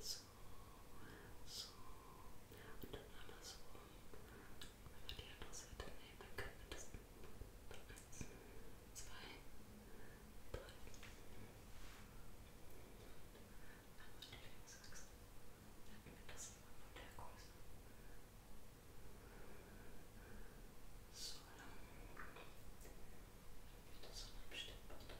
So, so, und dann andersrum. Wenn wir die andere Seite nehmen, dann können wir das. Eins, zwei, drei. Einmal die Linksachse. Dann wir das immer von der Größe. So, dann. Wieder so ein Stimmwort.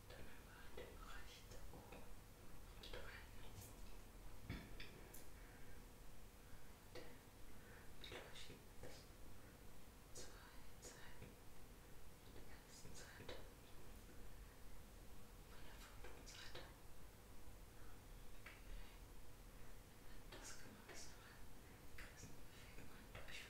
drüber dem rechten Ohr streiten. Beleuchten das zwei Seiten von der ersten Seite, von der Photonseite. Okay. Das kann man das nochmal. Kreisen bewegen und durch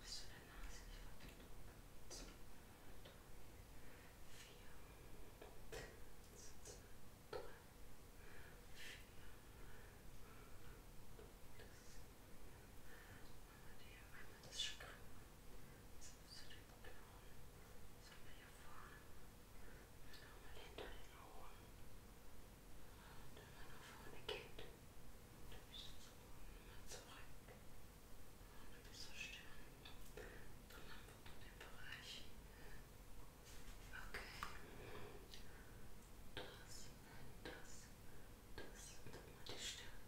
bis zu der Nase, ich verbinde 2, 3, 4, 2, 3, 4, einmal das Schrank, zu den Knochen, das haben wir hier vorne, nochmal hinter den Ohren, wenn man nach vorne geht du bist jetzt nochmal zurück und du bist so still. Dann haben wir den Bereich. Okay. Das, das, das, dann mal die Stirn.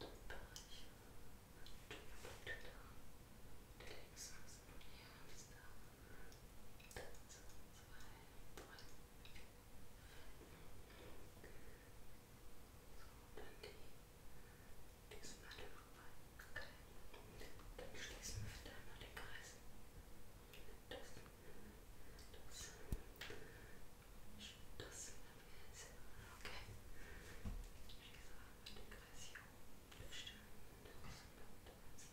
Den Bereich. Du bist da. Der links ist hier, ist da. Das, zwei, drei die sind alle vorbei. Okay. Dann schließen wir da noch den Kreis. Das, das, das haben wir jetzt. Okay. Schließen wir den Kreis hier oben. Bestimmt. Das, das, das.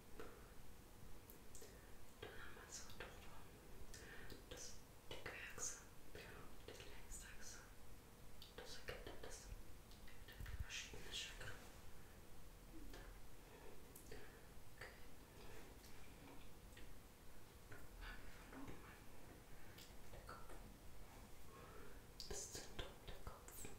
Dann haben wir so drüber das dicke Achse und die längste Achse. Das ergibt dann das verschiedene Chakra. Okay. Fangen wir von oben an. Der Kopf. Das Zentrum der Kopf. Dann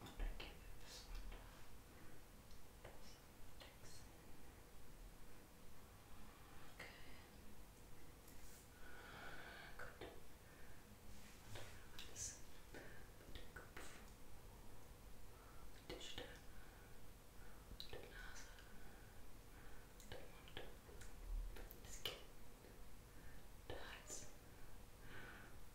Und dann gehen wir bis runter. Okay. Gut. Alles mit dem Kopf, mit der Stirn, mit der Nase, mit dem Mund, das Kinn, der Hals.